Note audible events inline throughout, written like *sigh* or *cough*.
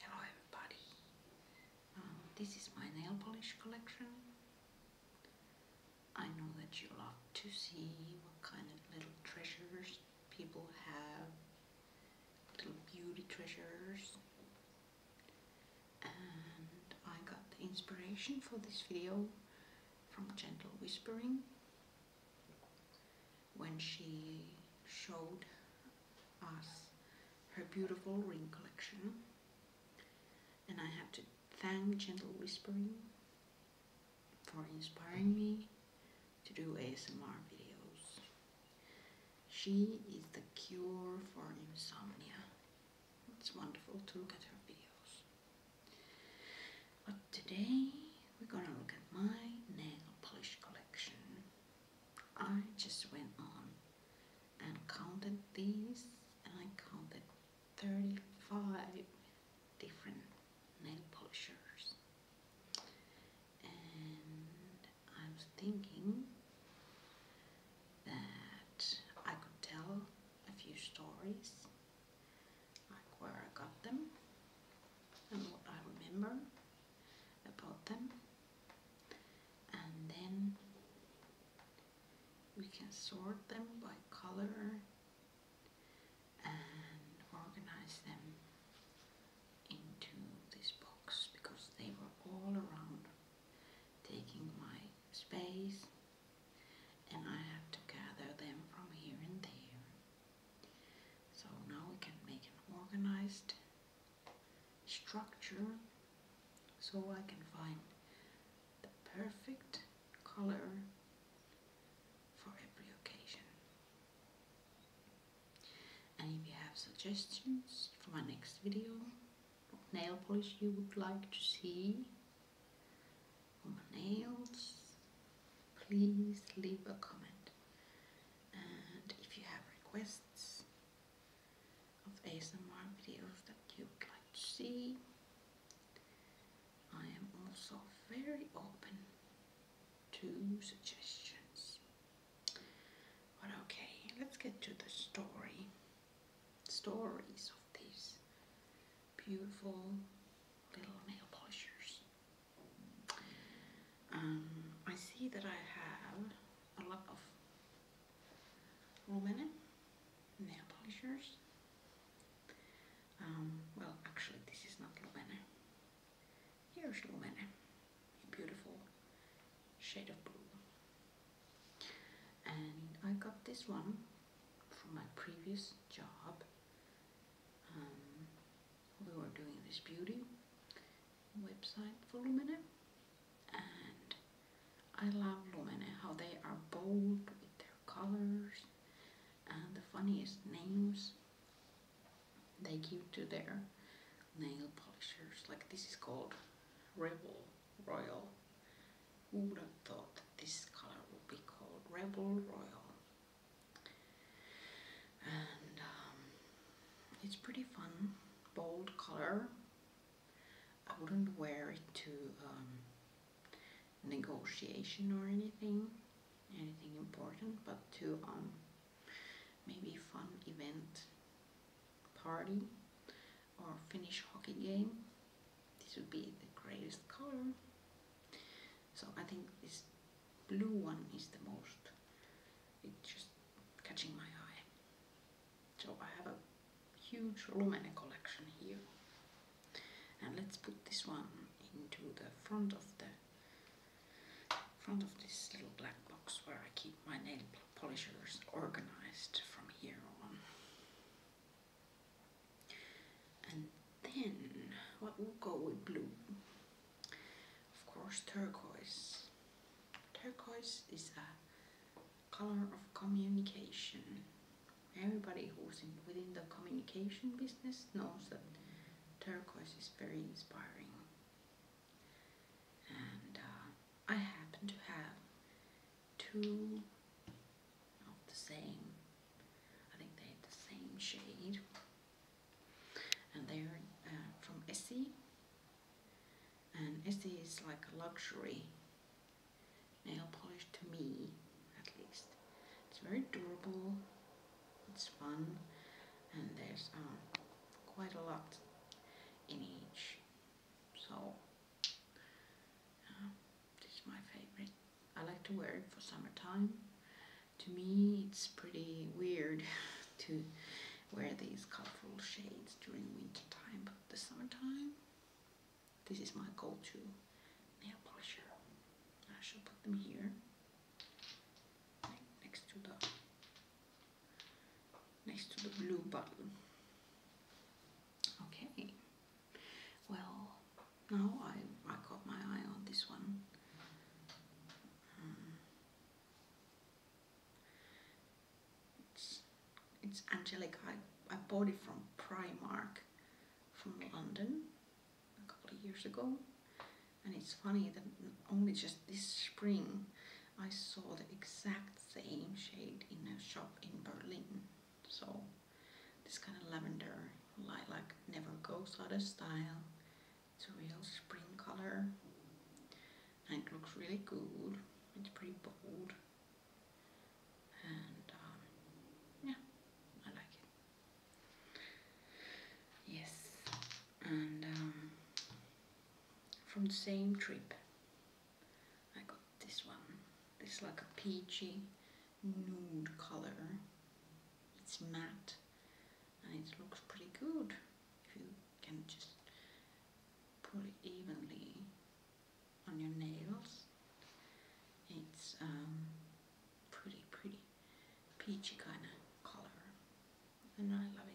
Hello everybody, um, this is my nail polish collection. I know that you love to see what kind of little treasures people have, little beauty treasures and I got the inspiration for this video from Gentle Whispering when she showed us her beautiful ring collection and I have to thank Gentle Whispering for inspiring me to do ASMR videos. She is the cure for insomnia. It's wonderful to look at her videos. But today we're gonna look at my nail polish collection. I just went on and counted these and I counted 35 different nail polishers and I'm thinking that I could tell a few stories, like where I got them and what I remember about them, and then we can sort them by color and organize them into this box because they were all around taking my space and I had to gather them from here and there. So now we can make an organized structure so I can find the perfect color for every occasion and if you have suggestions for my next video what nail polish you would like to see on my nails please leave a comment and if you have requests of ASMR videos that you would like to see I am also very open to suggestions okay, let's get to the story. Stories of these beautiful little nail polishers. Um, I see that I have a lot of Romanian nail polishers. Um, well, actually, this is not Romanian. Here's your woman, a beautiful shade of blue. And I got this one from my previous job. Um, we were doing this beauty website for Lumene and I love Lumene, how they are bold with their colors and the funniest names they give to their nail polishers. Like this is called Rebel Royal. Who would have thought that this color would be called Rebel Royal? And um, it's pretty fun, bold color. I wouldn't wear it to um, negotiation or anything, anything important, but to um, maybe fun event, party or finish hockey game. This would be the greatest color. So I think this blue one is the most, it's just catching my eye. So I have a huge Lumene collection here. And let's put this one into the front of the in front of this little black box where I keep my nail polishers organized from here on. And then, what will go with blue? Of course, turquoise. Turquoise is a color of communication. Everybody who's in, within the communication business knows that turquoise is very inspiring and uh, I happen to have two of the same, I think they're the same shade, and they're uh, from Essie, and Essie is like a luxury nail polish to me, at least. It's very durable, it's fun and there's um, quite a lot in each. So this is my favorite. I like to wear it for summertime. To me it's pretty weird *laughs* to wear these colorful shades during wintertime. but the summertime this is my go-to nail polish. I shall put them here next to the next to the blue button okay well now I, I got my eye on this one hmm. it's, it's Angelic I, I bought it from Primark from London a couple of years ago. And it's funny that only just this spring I saw the exact same shade in a shop in Berlin. So this kind of lavender lilac never goes out of style. It's a real spring color and it looks really good. It's pretty bold and um, yeah, I like it. Yes, and um, from the same trip I got this one. It's like a peachy nude color. It's matte and it looks pretty good if you can just put it evenly on your nails. It's um, pretty, pretty peachy kind of color and I love it.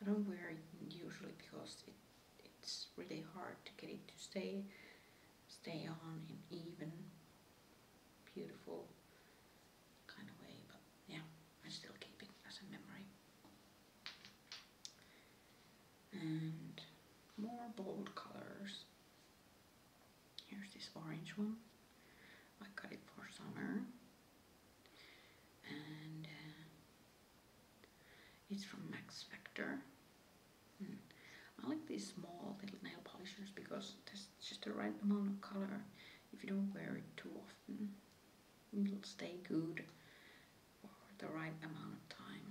I don't wear it usually because it's really hard to get it to stay stay on in even beautiful kind of way but yeah I still keep it as a memory. And more bold colors Here's this orange one. I got it for summer. And uh, it's from Max Factor. Hmm. I like these small little nail polishers because there's just the right amount of color. If you don't wear it too often, it'll stay good for the right amount of time.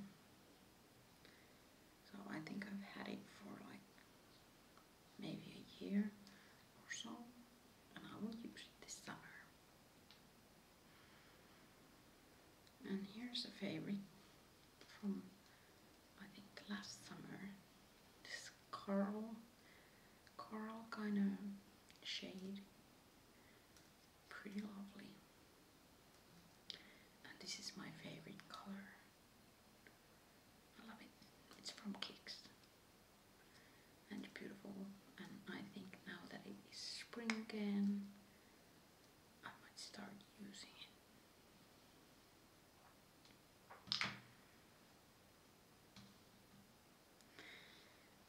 So I think I've had it for like maybe a year or so, and I will use it this summer. And here's a favorite from I think last summer. This coral, coral kind of shade, pretty lovely. And this is my favorite color. I love it. It's from Kix. And it's beautiful. And I think now that it is spring again, I might start using it.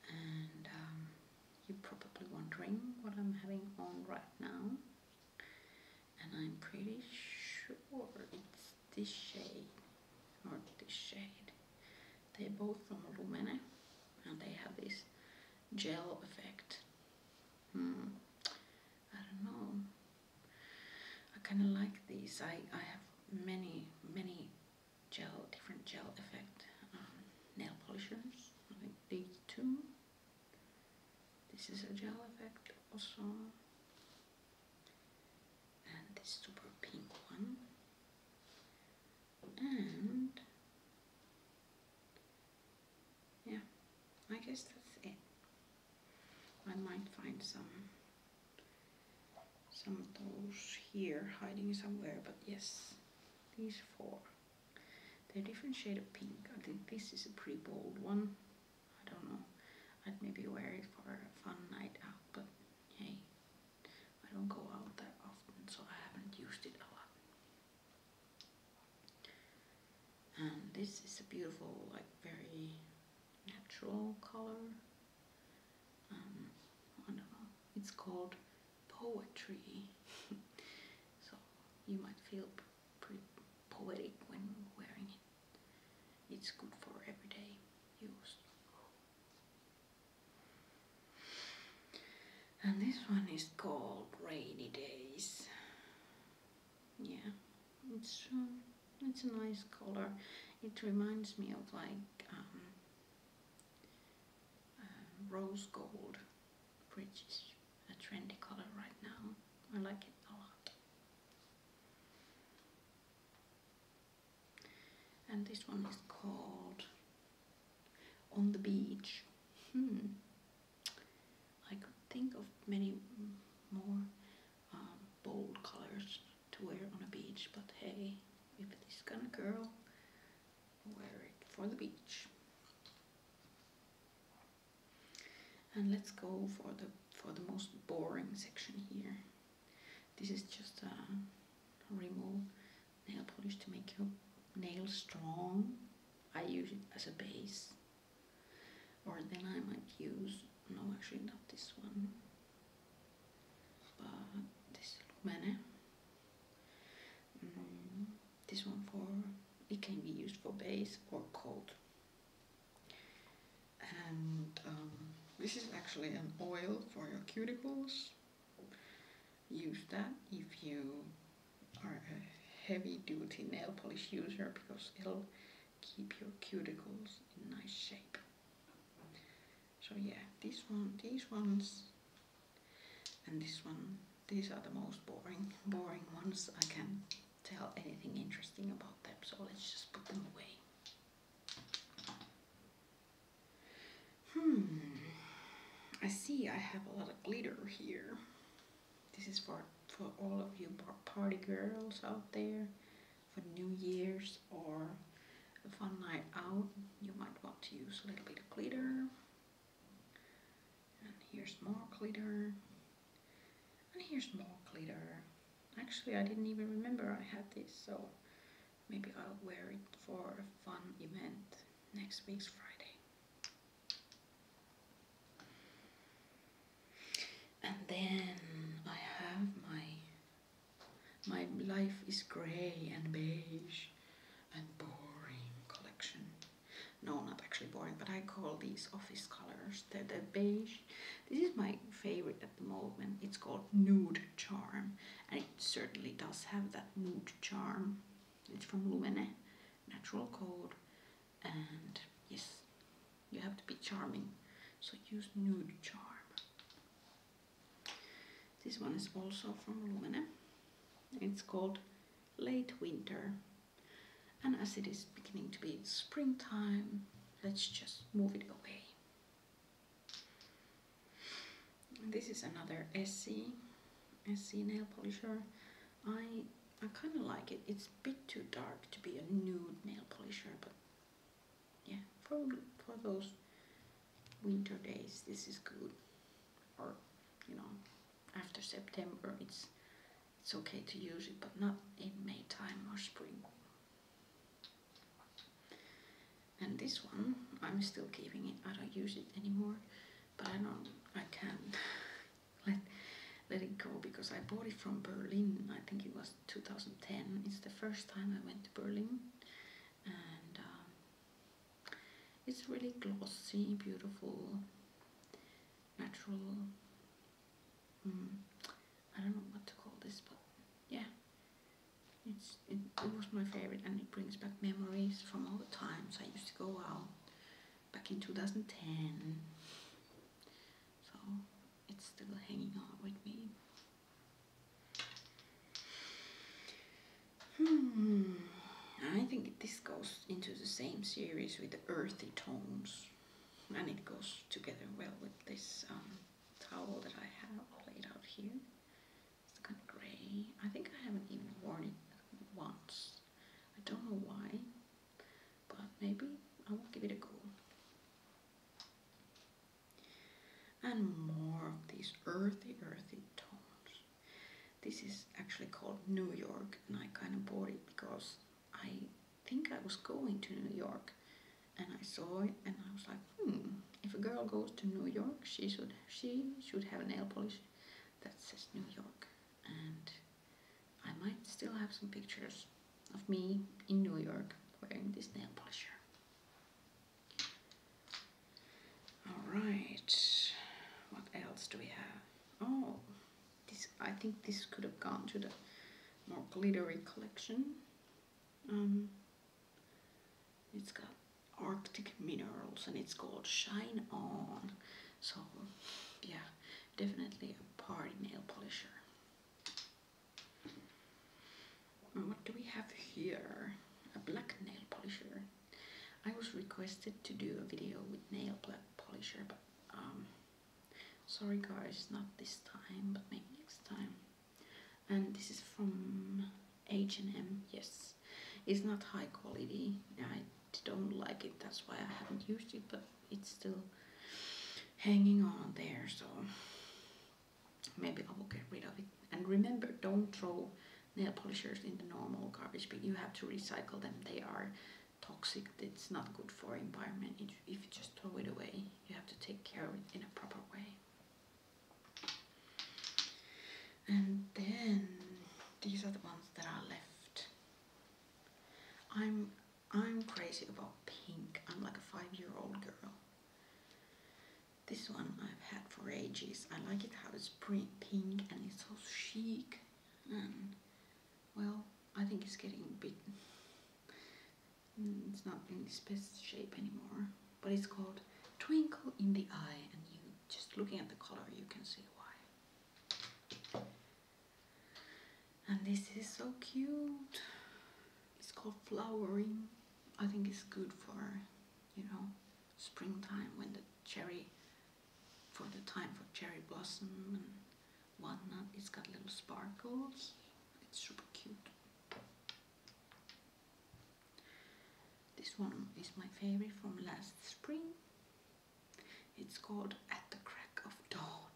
And um, you're probably wondering what I'm having on right now and I'm pretty sure it's this shade or this shade they're both from Lumene and they have this gel effect hmm. I don't know I kind of like these I, I have many many gel different gel effect um, nail polishers like these two this is a gel effect also and this super pink one and yeah I guess that's it I might find some some of those here hiding somewhere but yes these four they're different shade of pink I think this is a pretty bold one I don't know. I'd maybe wear it for a fun night out, but hey, I don't go out that often, so I haven't used it a lot. And this is a beautiful, like very natural color. Um, It's called poetry. *laughs* so you might feel pretty poetic when wearing it. It's good for everyday use. And this one is called Rainy Days. Yeah, it's um, it's a nice color. It reminds me of like um, uh, rose gold, which is a trendy color right now. I like it a lot and this one is called On the Beach. Hmm. I could think of many more um, bold colors to wear on a beach, but hey, if it's gonna curl, wear it for the beach. And let's go for the for the most boring section here. This is just a remove nail polish to make your nails strong. I use it as a base. Or then I might use, no actually not this one, but this Lumene. Mm, this one for, it can be used for base or coat. And um, this is actually an oil for your cuticles. Use that if you are a heavy duty nail polish user because it'll keep your cuticles in nice shape. So yeah, this one, these ones and this one, these are the most boring, boring ones I can tell anything interesting about them, so let's just put them away. Hmm, I see I have a lot of glitter here. This is for, for all of you party girls out there for New Year's or a fun night out. You might want to use a little bit of glitter. And here's more glitter. And here's more glitter. Actually, I didn't even remember I had this, so maybe I'll wear it for a fun event next week's Friday. And then I have my my life is grey and beige and boring collection no, not actually boring, but I call these office colors. They're the beige. This is my favorite at the moment. It's called Nude Charm, and it certainly does have that nude charm. It's from Lumene, Natural Code, and yes, you have to be charming, so use Nude Charm. This one is also from Lumene. It's called Late Winter and as it is beginning to be springtime, let's just move it away. This is another SC, SC nail polisher. I, I kind of like it. It's a bit too dark to be a nude nail polisher, but yeah, for, for those winter days, this is good. Or, you know, after September it's it's okay to use it but not in May time or spring and this one I'm still keeping it I don't use it anymore but I don't. I can *laughs* let let it go because I bought it from Berlin I think it was 2010 it's the first time I went to Berlin and um, it's really glossy, beautiful, natural. Mm. I don't know what to call this, but yeah, it's it, it was my favorite, and it brings back memories from all the times I used to go out back in 2010. So it's still hanging on with me. Hmm, I think this goes into the same series with the earthy tones and it goes together well with this um, towel that I have laid out here. It's kind of grey. I think I haven't even worn it once. I don't know why, but maybe I will give it a go. And more of these earthy, earthy tones. This is actually called New York, and I kind of bought it because I think I was going to New York and I saw it and I was like, hmm, if a girl goes to New York, she should she should have a nail polish that says New York. And I might still have some pictures of me in New York wearing this nail polish. All right, what else do we have? Oh, this I think this could have gone to the more glittery collection. Um, it's got Arctic minerals and it's called Shine On. So, yeah, definitely a party nail polisher. what do we have here? A black nail polisher. I was requested to do a video with nail polisher, but um, sorry guys, not this time, but maybe next time. And this is from H&M, yes. It's not high quality, I don't like it, that's why I haven't used it, but it's still hanging on there, so maybe I will get rid of it. And remember, don't throw nail polishers in the normal garbage but You have to recycle them. They are toxic. It's not good for environment. If, if you just throw it away, you have to take care of it in a proper way. And then these are the ones that are left. I'm I'm crazy about pink. I'm like a five-year-old girl. This one I've had for ages. I like it how it's pink and it's so chic. well, I think it's getting a bit. Mm, it's not in its best shape anymore. But it's called Twinkle in the Eye, and you just looking at the color, you can see why. And this is so cute. It's called flowering. I think it's good for you know, springtime when the cherry, for the time for cherry blossom and whatnot, it's got little sparkles. It's super cute. This one is my favorite from last spring. It's called At the Crack of Dawn.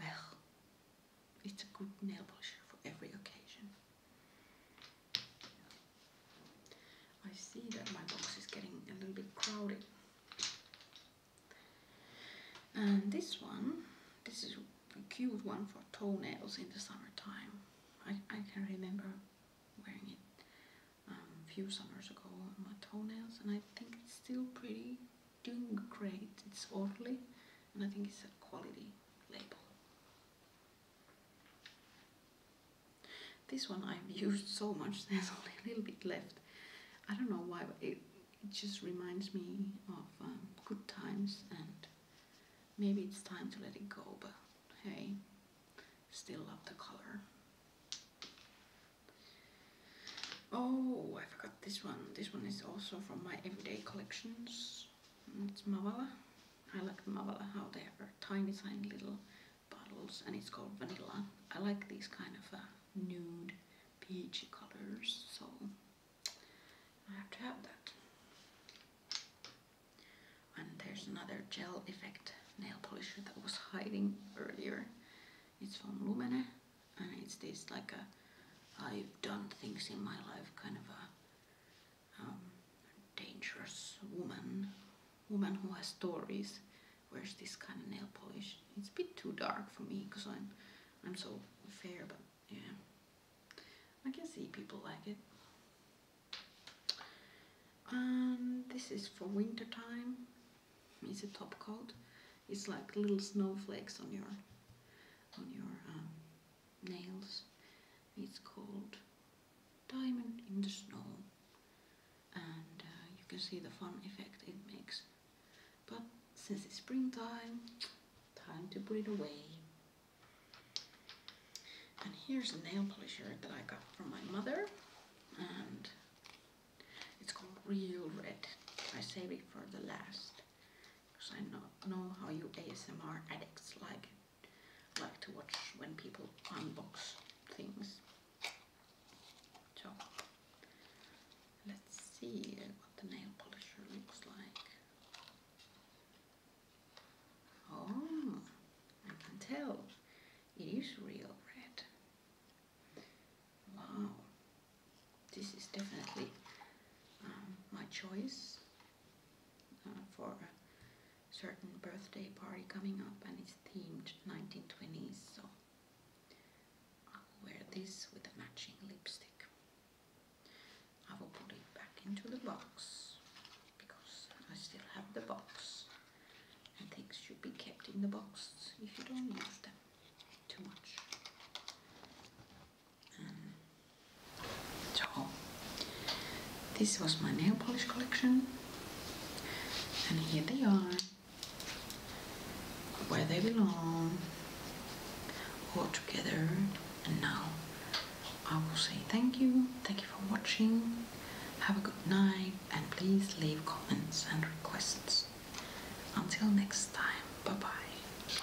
Well, it's a good nail polish for every occasion. I see that my box is getting a little bit crowded. And this one, this is a cute one for toenails in the summertime. I, I can remember wearing it um, a few summers ago on my toenails and I think it's still pretty doing great. It's orderly and I think it's a quality label. This one I've used so much, *laughs* there's only a little bit left. I don't know why, it, just reminds me of um, good times and maybe it's time to let it go, but hey, still love the color. Oh, I forgot this one. This one is also from my everyday collections. It's Mavala. I like the Mavala how they are tiny tiny little bottles and it's called vanilla. I like these kind of uh, nude peachy colors so I have to have that. And there's another gel effect nail polisher that was hiding earlier. It's from Lumene and it's this like a I've done things in my life kind of a um, dangerous woman, woman who has stories, wears this kind of nail polish. It's a bit too dark for me because I'm, I'm so fair, but yeah. I can see people like it. And um, this is for winter time. It's a top coat. It's like little snowflakes on your on your um, nails. It's called diamond in the snow and uh, you can see the fun effect it makes but since it's springtime time to put it away and here's a nail polish that I got from my mother and it's called Real Red I save it for the last because I know, know how you ASMR addicts like like to watch when people unbox things. So let's see what the nail polisher looks like. Oh, I can tell it is real red. Wow, this is definitely um, my choice uh, for a certain birthday party coming up and it's themed 1920s so I'll wear this with a matching lipstick I will put it back into the box because I still have the box and things should be kept in the box if you don't use them too much um, so, this was my nail polish collection, and here they are, where they belong, all together. And now I will say thank you, thank you for watching, have a good night, and please leave comments and requests. Until next time, bye bye.